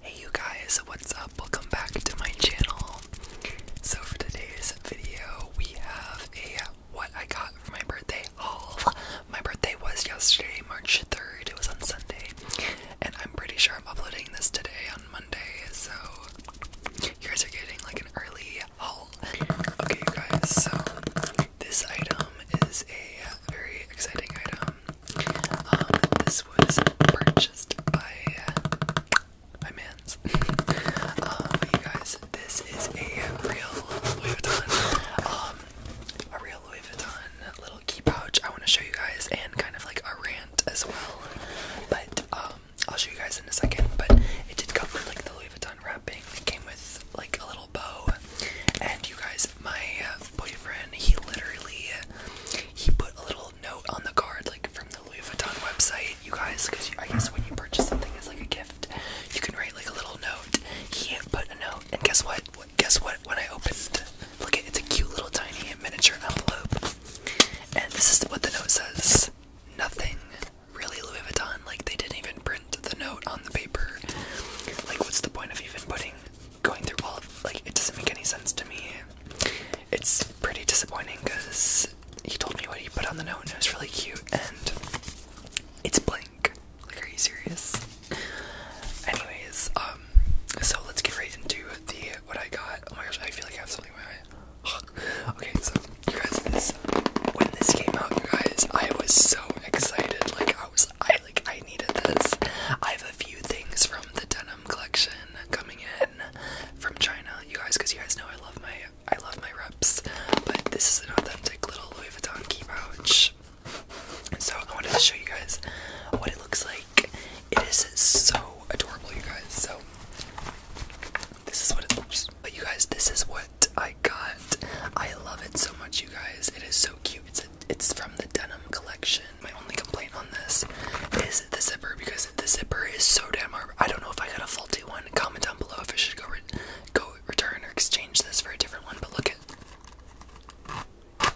Hey you guys, what's up? Welcome back to my channel. So for today's video, we have a what I got for my birthday haul. My birthday was yesterday, March 3rd. It was on Sunday. And I'm pretty sure I'm uploading this today on Monday, so you guys are getting like an early haul. Okay you guys, so this item is a very exciting item. Um, this was purchased by my man's. Um, you guys, this is a real Louis Vuitton, um, a real Louis Vuitton little key pouch. I want to show you guys, and kind of like a rant as well. But um, I'll show you guys in a second. But it did come with like the Louis Vuitton wrapping. It came with like a little bow. And you guys, my boyfriend, he literally he put a little note on the card, like from the Louis Vuitton website, you guys, because I guess when you purchase something as like a gift, you can write like a little note. He put a note, and guess what? what guess what? When I opened, look at it's a cute little tiny miniature envelope, and this is what the note says: nothing. Really, Louis Vuitton, like they didn't even print the note on the paper. Like, what's the point of even putting going through all of like it doesn't make any sense to me. It's pretty disappointing because he told me what he put on the note and it was really cute and it's blank. Like, are you serious? Anyways, um, so let's get right into the what I got. Oh my gosh, I feel like I have something in my eye. okay, so you guys, this when this came out, you guys, I was so excited. Like, I was, I like, I needed this. I have a few things from the denim collection coming in from China, you guys, because you guys know I love my I love my reps, but this is an authentic little Louis Vuitton key pouch. So I wanted to show you guys what it looks like. It is so adorable, you guys. So this is what it looks. But you guys, this is what I got. I love it so much, you guys. It is so cute. It's it's from the denim collection my only complaint on this is the zipper because the zipper is so damn hard. I don't know if I got a faulty one. Comment down below if I should go go return or exchange this for a different one. But look at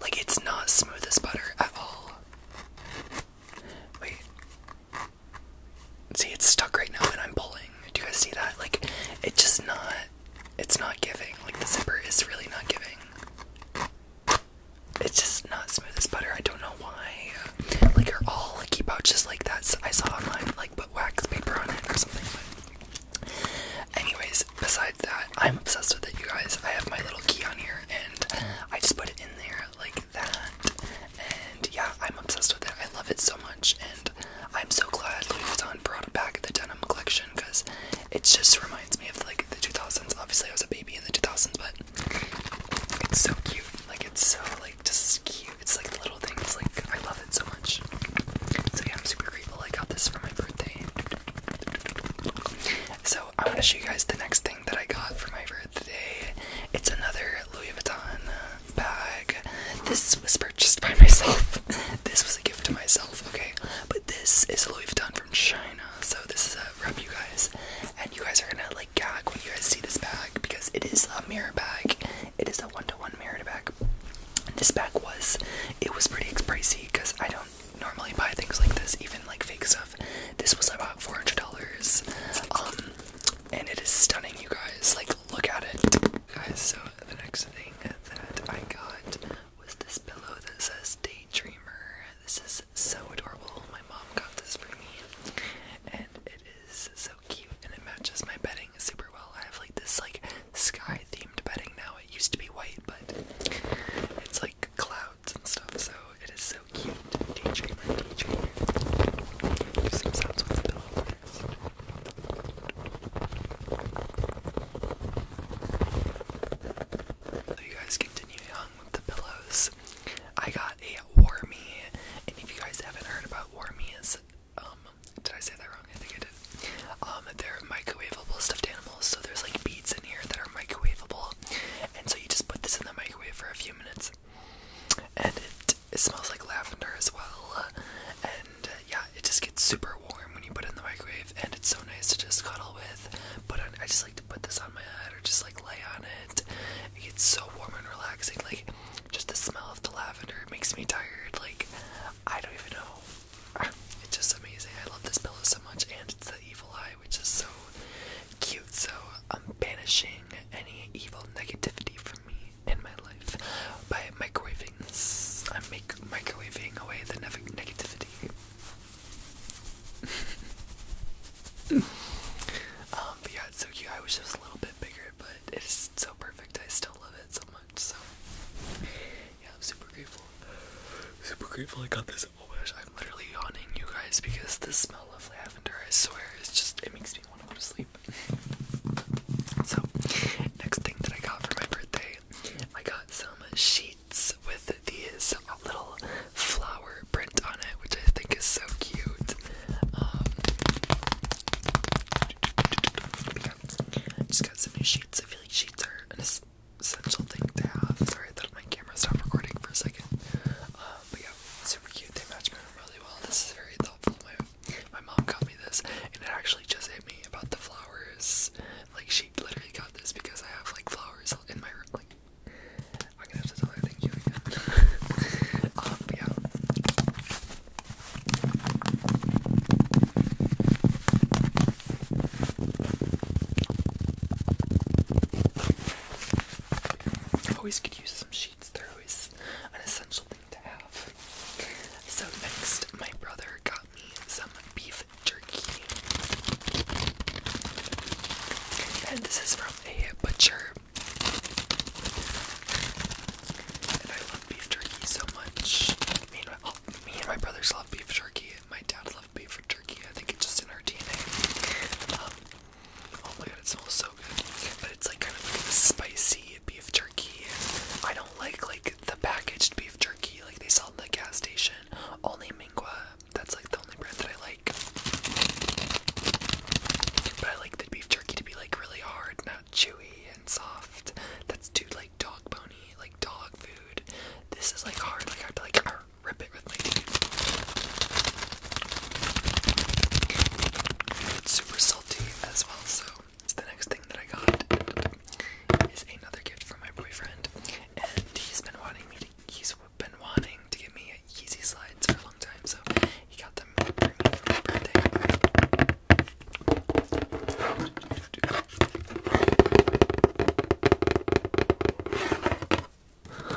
like it's not smooth as butter at all. Wait. See, it's stuck right now and I'm pulling. Do you guys see that? Like, it's just not, it's not giving. Like, the zipper is really not giving it's just not smooth as butter. I don't know why. Like are all like, lucky pouches like that. I saw online like put wax paper on it or something. But anyways, besides that, I'm obsessed with it, you guys. I have my little key on here, and I just put it in there like that. And yeah, I'm obsessed with it. I love it so much, and I'm so glad Louis Vuitton brought back the denim collection because it just reminds me of like the 2000s. Obviously, I was a baby in the 2000s, but it's so cute. Like it's so like just cute. It's like the little things. Like I love it so much. So yeah, I'm super grateful. I got this for my birthday. So I want to show you guys the next thing that I got for my birthday. It's another Louis Vuitton bag. This was purchased by myself. this was a gift to myself. Okay, but this is Louis Vuitton China. So this is a rep, you guys, and you guys are gonna like gag when you guys see this bag because it is a mirror bag. It is a one-to-one mirror bag. this bag was it was pretty pricey because I don't normally buy things like this, even like fake stuff. This was about four hundred dollars. Um, and it is stunning, you guys. Like, look at it, guys. So the next thing that I got was this pillow that says Daydreamer. This is so adorable. My mom got this for me, and it is so cute, and it matches my bedding super well. I have like this like sky-themed bedding now. It used to be white, but it's like clouds and stuff. So it is so cute. Daydreamer, daydreamer. Do some sounds with the pillow so you guys continuing on with the pillows. I got a Warmie, and if you guys haven't heard about Warmies, um, did I say that wrong? I think I did. Um, they're microwavable stuffed animals, so there's like beads in here that are microwavable, and so you just put this in the microwave for a few minutes, and it, it smells like lavender as well, and uh, yeah, it just gets super warm warm when you put in the microwave, and it's so nice to just cuddle with. But I just like to put this on my head or just like lay on it. It gets so warm and relaxing. Like just the smell of the lavender makes me tired. Like I don't even know. It's just amazing. I love this pillow so much, and it's the evil eye, which is so cute. So I'm banishing any evil negativity from me in my life by microwaving. This. I'm make microwaving away the negativity. um, but yeah, it's so cute. I wish it was a little bit bigger, but it is so perfect. I still love it so much. So yeah, I'm super grateful. Super grateful I got this. Oh my gosh, I'm literally yawning, you guys, because the smell of lavender, I swear, it's just it makes me want to go to sleep. so next thing that I got for my birthday, I got some sheets with these little flower print on it, which I think is so cute. Um, just got some new sheets. I feel like sheets are an essential thing to have. Sorry that my camera stopped recording for a second. Um, but yeah, super cute. They match my room really well. This is very thoughtful. My my mom got me this, and it actually just hit me about the flowers like she literally got this because I have like flowers in my room. Like I'm gonna have to tell her thank you again. um, but yeah. Always could use some sheets. They're always an essential thing to have. So next, my brother got me some beef jerky. And this is from a butcher. And I love beef jerky so much. Me and my, oh, me and my brothers love beef jerky. My dad loves beef jerky. I think it's just in our DNA. Um, oh my god, it smells so good. But it's like kind of spicy beef jerky. I don't like like the packaged beef jerky, like they sell in the gas station. Only Mingua, that's like the only brand that I like. But I like the beef jerky to be like really hard, not chewy and soft. That's too like dog bony, like dog food. This is like hard, like I have to like rip it with my teeth. It's super salty as well, so it's the next that I got is another gift from my boyfriend, and he's been wanting me to. He's been wanting to give me Yeezy slides for a long time, so he got them for me birthday.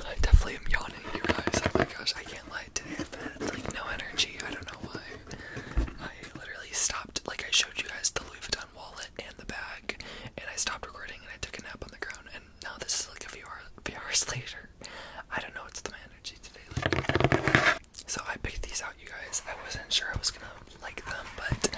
I definitely am yawning, you guys. Oh my gosh, I can't lie today. I've like no energy. I don't know why. I literally stopped. Like I showed you guys the Louis Vuitton wallet and the bag, and I stopped recording and I took a nap on the ground. And now this is like a few, hour, few hours later. I don't know what's the my energy today. Like. So I picked these out, you guys. I wasn't sure I was gonna like them, but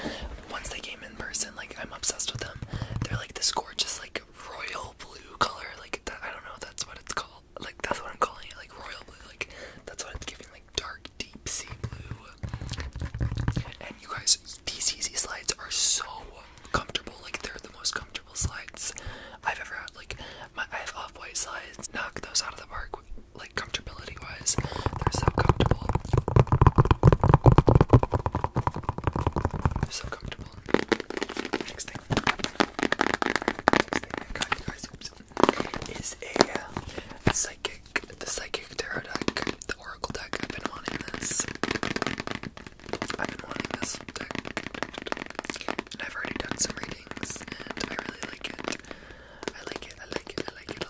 once they came in person, like I'm obsessed with them. They're like this gorgeous, like royal blue color. Like I don't know. That's what it's called. Like that's what I'm calling it. Like royal blue. Like that's what it's giving. Like dark deep sea blue. And you guys, these easy slides are so comfortable. Like they're the most comfortable slides I've ever had. Like my, I have off-white slides. Knock those out of the park. Like comfortability-wise, they're so comfortable. so comfortable. Next thing. Next thing I you guys oops, is a uh, the psychic tarot deck, the oracle deck. I've been wanting this. I've been wanting this deck, and I've already done some readings, and I really like it. I like it. I like it. I like it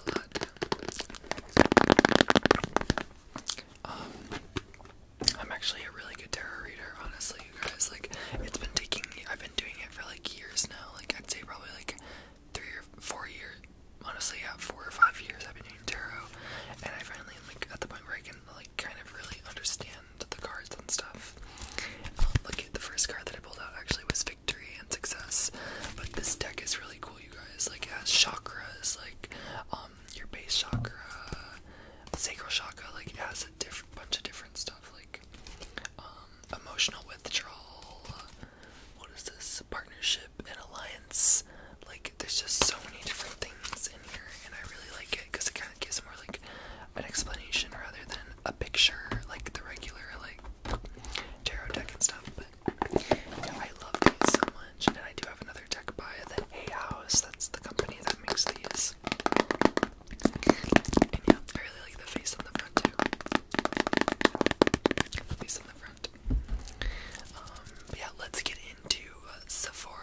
a lot. Um, I'm actually a really good tarot reader, honestly, you guys. Like, it's been taking I've been doing it for like years now. Like, I'd say probably like three or four years, honestly, yeah, four or five years I've been doing tarot, and I finally like at the point where I can like kind of really understand the cards and stuff. Um, look at the first card that I pulled out actually was victory and success, but this deck is really cool, you guys. Like it has chakras, like um your base chakra, sacral chakra, like it has a different bunch of different stuff like um emotional withdrawal what is this? Partnership and alliance. Like, there's just so many different things in here, and I really like it because it kind of gives more like an explanation rather than a picture, like the regular like tarot deck and stuff. But I love these so much, and I do have another deck by the A House. That's the company that makes these. yeah, I really like the face on the front too. The face on the front. Um, yeah, let's get into uh, Sephora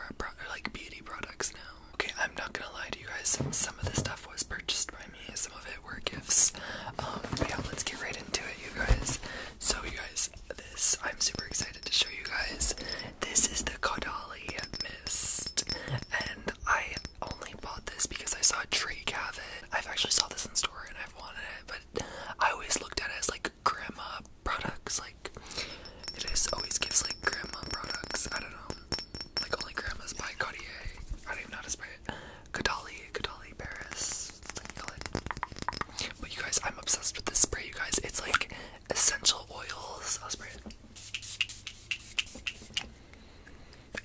like beauty products now. Okay, I'm not gonna lie to you guys. Some of this stuff was purchased by me. Some of it were gifts. Um, yeah, let's get right into it, you guys. So, you guys, this I'm super excited to show you guys. This is the Caudali mist, and I only bought this because I saw Drake have it. I've actually saw this in store, and i wanted it, but I always looked at it as like grandma products. Like it just always gives like grandma products. I don't know, like only grandmas buy Cartier. I don't even know how to spray it. Cadali, Paris. But you guys, I'm obsessed with this spray. You guys, it's like essential oils. spray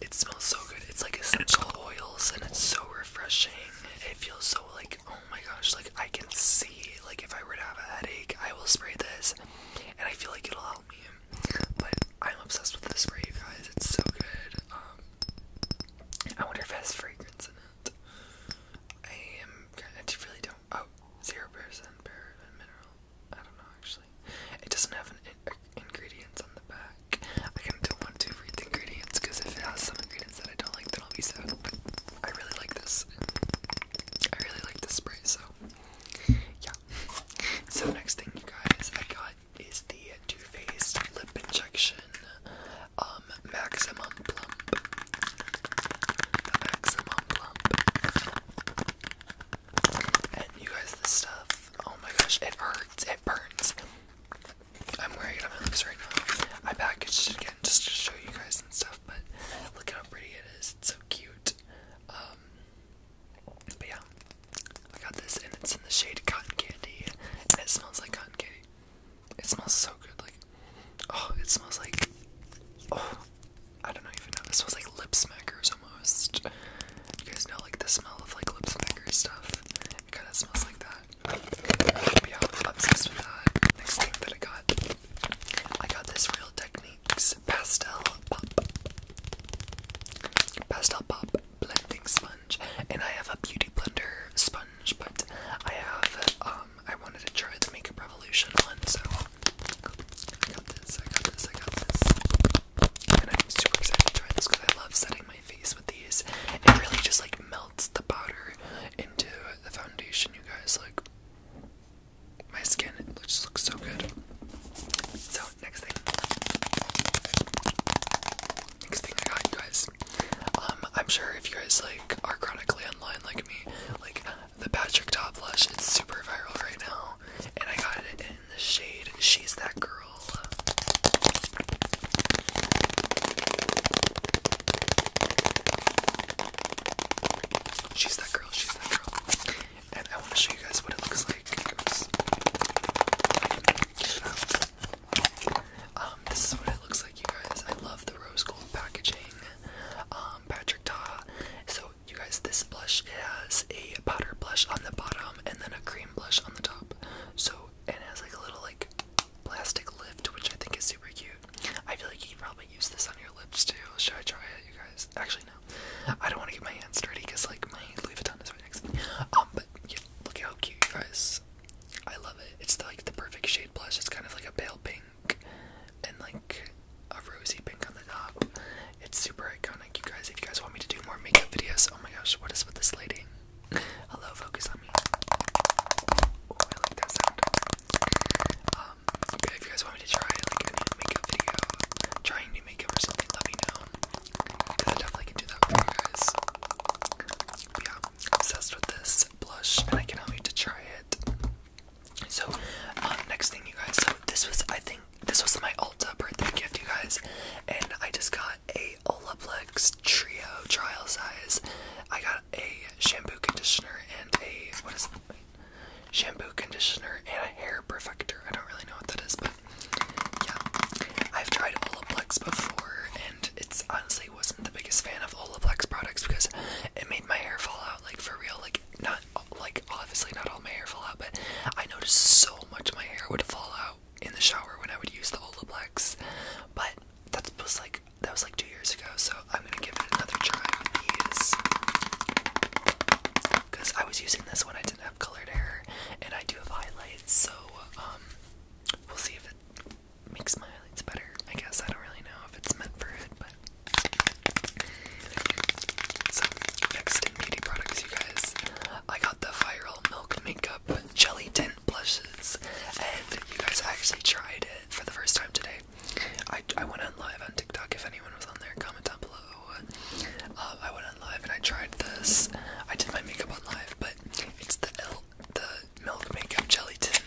it smells so good. It's like essential oils and it's so refreshing. It feels so like oh my gosh, like I can see like if I were to have a headache, I will spray this and I feel like it'll help me. But I'm obsessed with this spray, guys. It's so good. Um I wonder if it has fragrance in it. I am I really don't oh, zero percent paraben mineral. I don't know actually. It doesn't have an ingredients on the back. I don't want to read the ingredients because if it has some ingredients that I don't like, then I'll be sad. But I really like this. I really like this spray, so yeah. So next thing, you guys, I got is the Too Faced Lip Injection um Maximum Plump. Maximum Plump. And you guys, this stuff, oh my gosh, it hurts, it burns. I'm wearing it on my lips right now. I packaged it again just to show you guys and stuff, but look how pretty it is. It's so cute. Um, but yeah, I got this, and it's in the shade Cotton Candy, it smells like cotton candy. It smells so good. Like, oh, it smells like, oh, I don't know even know. It smells like lip smackers almost. You guys know like the smell of like lips and stuff. It kind of smells like that. I'm obsessed with that. Next thing that I got, I got this Real Techniques Pastel Pop. Pastel Pop blending sponge, and I have a beauty blender sponge, but I have um I wanted to try the Makeup Revolution one, so I got this, I got this, I got this. I'm super excited to try this because I love setting my face with these. It really just like melts the powder into the foundation, you guys. Like, my skin it just looks so good. So, next thing. Next thing I got, you guys. Um, I'm sure if you guys like are chronically online like me, like the Patrick Top Blush, it's super viral right now. And I got it in the shade She's That Girl. She's that girl, she's that girl. And I want to show you guys what it looks like. Um, this is what it looks like, you guys. I love the rose gold packaging. Um, Patrick Ta. So, you guys, this blush has a powder blush on the bottom and then a cream blush on the top. So, it has like a little like plastic lift, which I think is super cute. I feel like you could probably use this on your lips too. Should I try it, you guys? Actually, no. I don't want to get my hands dirty because like my Louis Vuitton is right next to me. Um, but yeah, look how cute, you guys. I love it. It's like the perfect shade blush. It's kind of like a pale pink and like a rosy pink on the top. It's super iconic, you guys. If you guys want me to do more makeup videos, oh my gosh, what is with this lady? Hello, focus on me. I like that sound. Um, if you guys want me to try like a video, trying new makeup or something, let me know. Cause I definitely can do that for you guys. yeah, am obsessed with this blush, and I cannot wait to try it. So, uh, next thing, you guys. So this was, I think, this was my Ulta birthday gift, you guys, and I just got a Olaplex Trio trial size. I got a shampoo conditioner and a what is it? Shampoo conditioner and a hair perfector. I don't really know what that is, but yeah, I've tried Olaplex before, and it honestly wasn't the biggest fan of Olaplex products because it made my hair fall out like for real, like not like obviously not all my hair fall out, but I noticed so much my hair would fall out in the shower when I would use the Olaplex, but that was like that was like two years ago. So I'm gonna give it another try with these because I was using this when I didn't have colored hair, and I do have highlights. So um, we'll see if it makes my highlights better. I guess I don't really know if it's meant for it, but. next in beauty products, you guys, I got the viral milk makeup jelly tint blushes, and you guys actually tried it for the first time today. I, I went on live on TikTok. If anyone was on there, comment down below. Uh, I went on live and I tried this. I did my makeup on live, but it's the L, the milk makeup jelly tint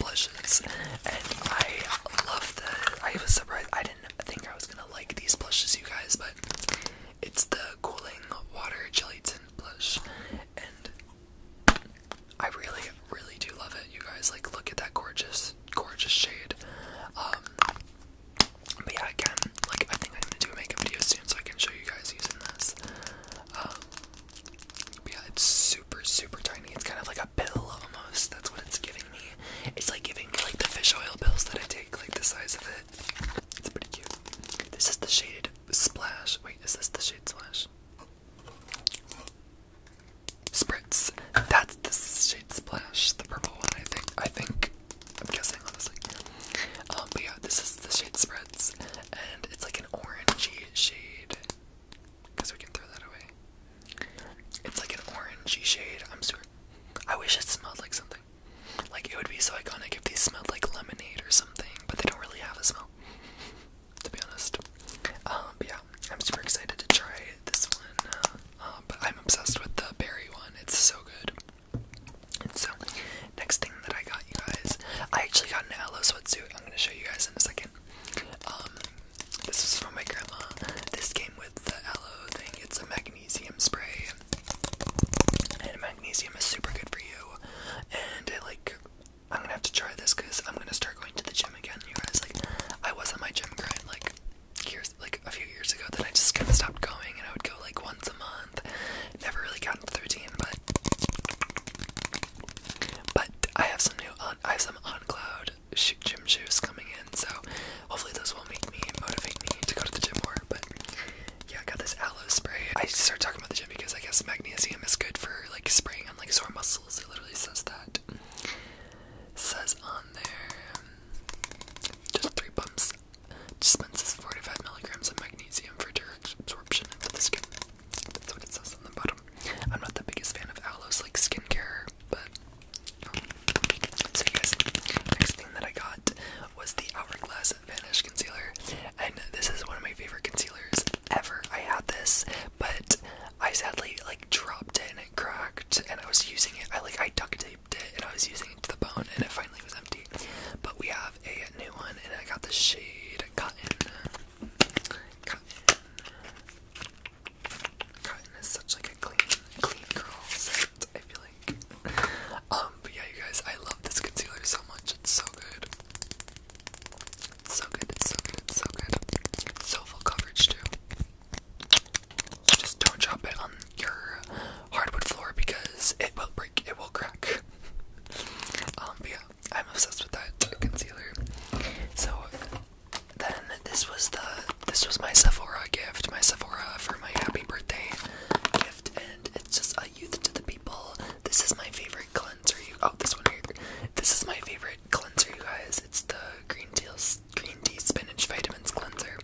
blushes, and I love that. I was surprised. I didn't think I was gonna like these blushes, you guys, but it's the Cooling Water Gelatin Blush, and I really, really do love it. You guys, like, look at that gorgeous, gorgeous shade. Um, but yeah, again, like, I think I'm gonna do a makeup video soon so I can show you guys using this. Um, yeah, it's super, super tiny. It's kind of like a pill almost. That's what it's giving me. It's like giving me like the fish oil pills that I take, like the size of it. It's pretty cute. This is the shade Splash. Wait, is this the shade Splash? Spritz. That's the shade Splash, the purple one, I think. I think. I'm guessing, honestly. Um, but yeah, this is the shade Spritz, and it's like an orangey shade. Guess we can throw that away. It's like an orangey shade. I'm sure. I wish it smelled like something. Like it would be so iconic if these smelled like lemonade or something, but they don't really have a smell. To be honest. Um, but yeah, I'm super excited to try this one. Uh, um, but I'm obsessed with the berry one. It's so good. So, next thing that I got you guys, I actually got an aloe suit. I'm gonna show you guys in a second. Um, this is from my grandma. This came with the aloe thing. It's a magnesium spray. And magnesium is super good for you. And like, I'm gonna have to try this because I'm gonna start going to the gym again, you guys. Like, I was on my gym grind like years, like a few years ago. Then I just kind of stopped going, and I would go like once a month. Never really got into the routine, but but I have some new on, I have some on cloud gym shoes coming in, so hopefully those will make me motivate me to go to the gym more. But yeah, I got this aloe spray. I started talking about the gym because I guess magnesium is good for like spraying on like sore muscles. It literally says that. says on there, just three pumps. Dispenses 45 milligrams of magnesium for direct absorption into the skin. That's what it says on the bottom. I'm not the biggest fan of aloe's like skincare, but. Um, so, you guys, next thing that I got was the Hourglass Vanish concealer, and this is one of my favorite concealers ever. I had this, but I sadly like dropped it and it cracked, and I was using it. I like I duct taped it, and I was using it to the bone, and it finally was empty. But we have a new one, and I got the shade Cotton. Cotton. is such like a clean, clean girl set. I feel like. Um, but yeah, you guys, I love this concealer so much. It's so good. It's so good. It's so good. It's so good. It's so full coverage too. Just don't drop it on your hardwood floor because it will break. It will crack. um, but yeah, I'm obsessed with that concealer. So then this was the this was my Sephora gift, my Sephora for my happy birthday gift, and it's just a youth to the people. This is my favorite cleanser. You oh, this one here. This is my favorite cleanser, you guys. It's the green tea, green tea spinach vitamins cleanser.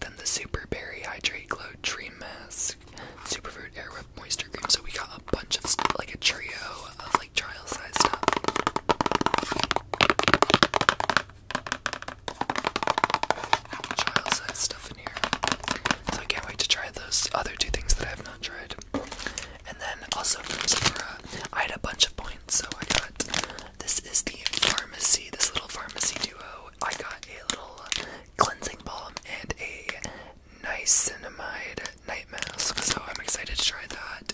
Then the super berry hydrate glow tree mask, Super air airweb moisture cream. So we got a bunch of like a trio of like trial size stuff child size stuff in here. So I can't wait to try those other two things that I have not tried. And then also from Sephora, I had a bunch of points, so I got this is the pharmacy, this little pharmacy duo. I got a little cleansing balm and a niacinamide night mask, so I'm excited to try that.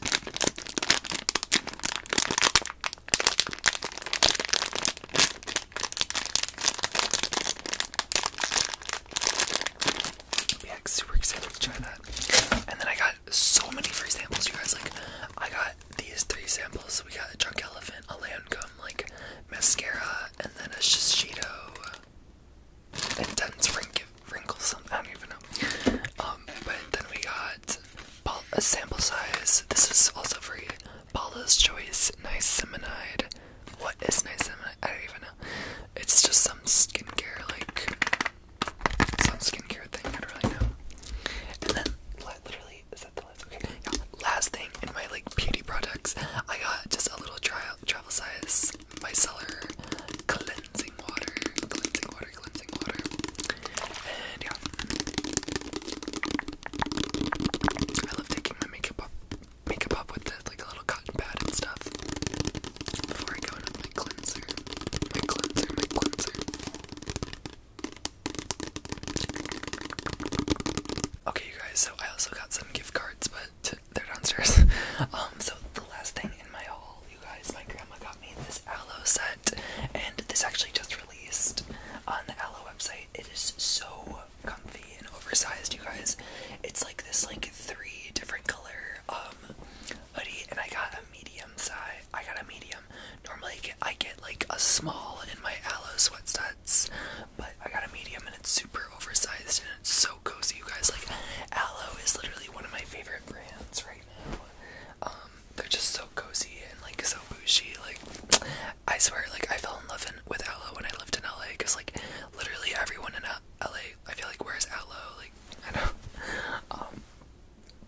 Yeah, super excited to try that. And then I got so many free samples, you guys. Like, I got these three samples. We got a drunk elephant, a Lancome, like mascara, and then a Shishido intense wrinkle, wrinkle something. I don't even know. Um, but then we got a sample size. This is also free. Paula's Choice Nice Niacinamide. What is niacinamide? I don't even know. It's just some skincare, like, some skincare thing. I don't really know. And then, literally, is that the last? Okay, Last thing in my, like, beauty products, I got just a little tri travel size micellar cleansing water. Cleansing water, cleansing water. And, yeah. I love taking my makeup off, makeup off with like a little cotton pad and stuff before I go in my cleanser. My cleanser, my cleanser. Okay, you guys. So I also got some gift cards, but they're downstairs. um, so the last thing in my haul, you guys, my grandma got me this aloe set, and this actually just on the Aloe website. It is so comfy and oversized, you guys. It's like this like three different color um hoodie and I got a medium size. I got a medium. Normally I get, like a small in my Aloe sweatsuits, but I got a medium and it's super oversized and it's so cozy, you guys. Like Aloe is literally one of my favorite brands right now. Um, they're just so cozy and like so bushy, Like I swear, like I fell in love with Aloe when I lived in LA, cause like literally everyone in LA, I feel like wears Aloe, like I know. Um,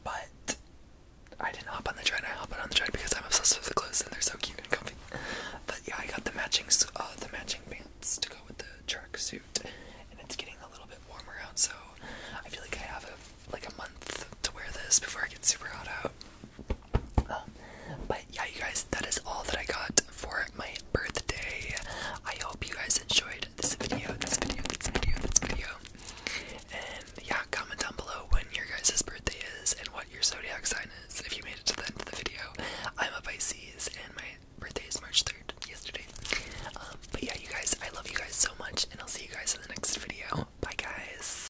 but I didn't hop on the train. I hop on the train because I'm obsessed with the clothes and they're so cute and comfy. But yeah, I got the matching uh, the matching pants to go with the track suit. and it's getting a little bit warmer out, so I feel like I have like a month to wear this before I get super hot out but yeah, you guys, that is all that I got for my birthday. I hope you guys enjoyed this video, this video, this video, this video. And yeah, comment down below when your guys' birthday is and what your zodiac sign is if you made it to the end of the video. I'm a Pisces and my birthday is March 3rd, yesterday. Um, but yeah, you guys, I love you guys so much, and I'll see you guys in the next video. Bye, guys.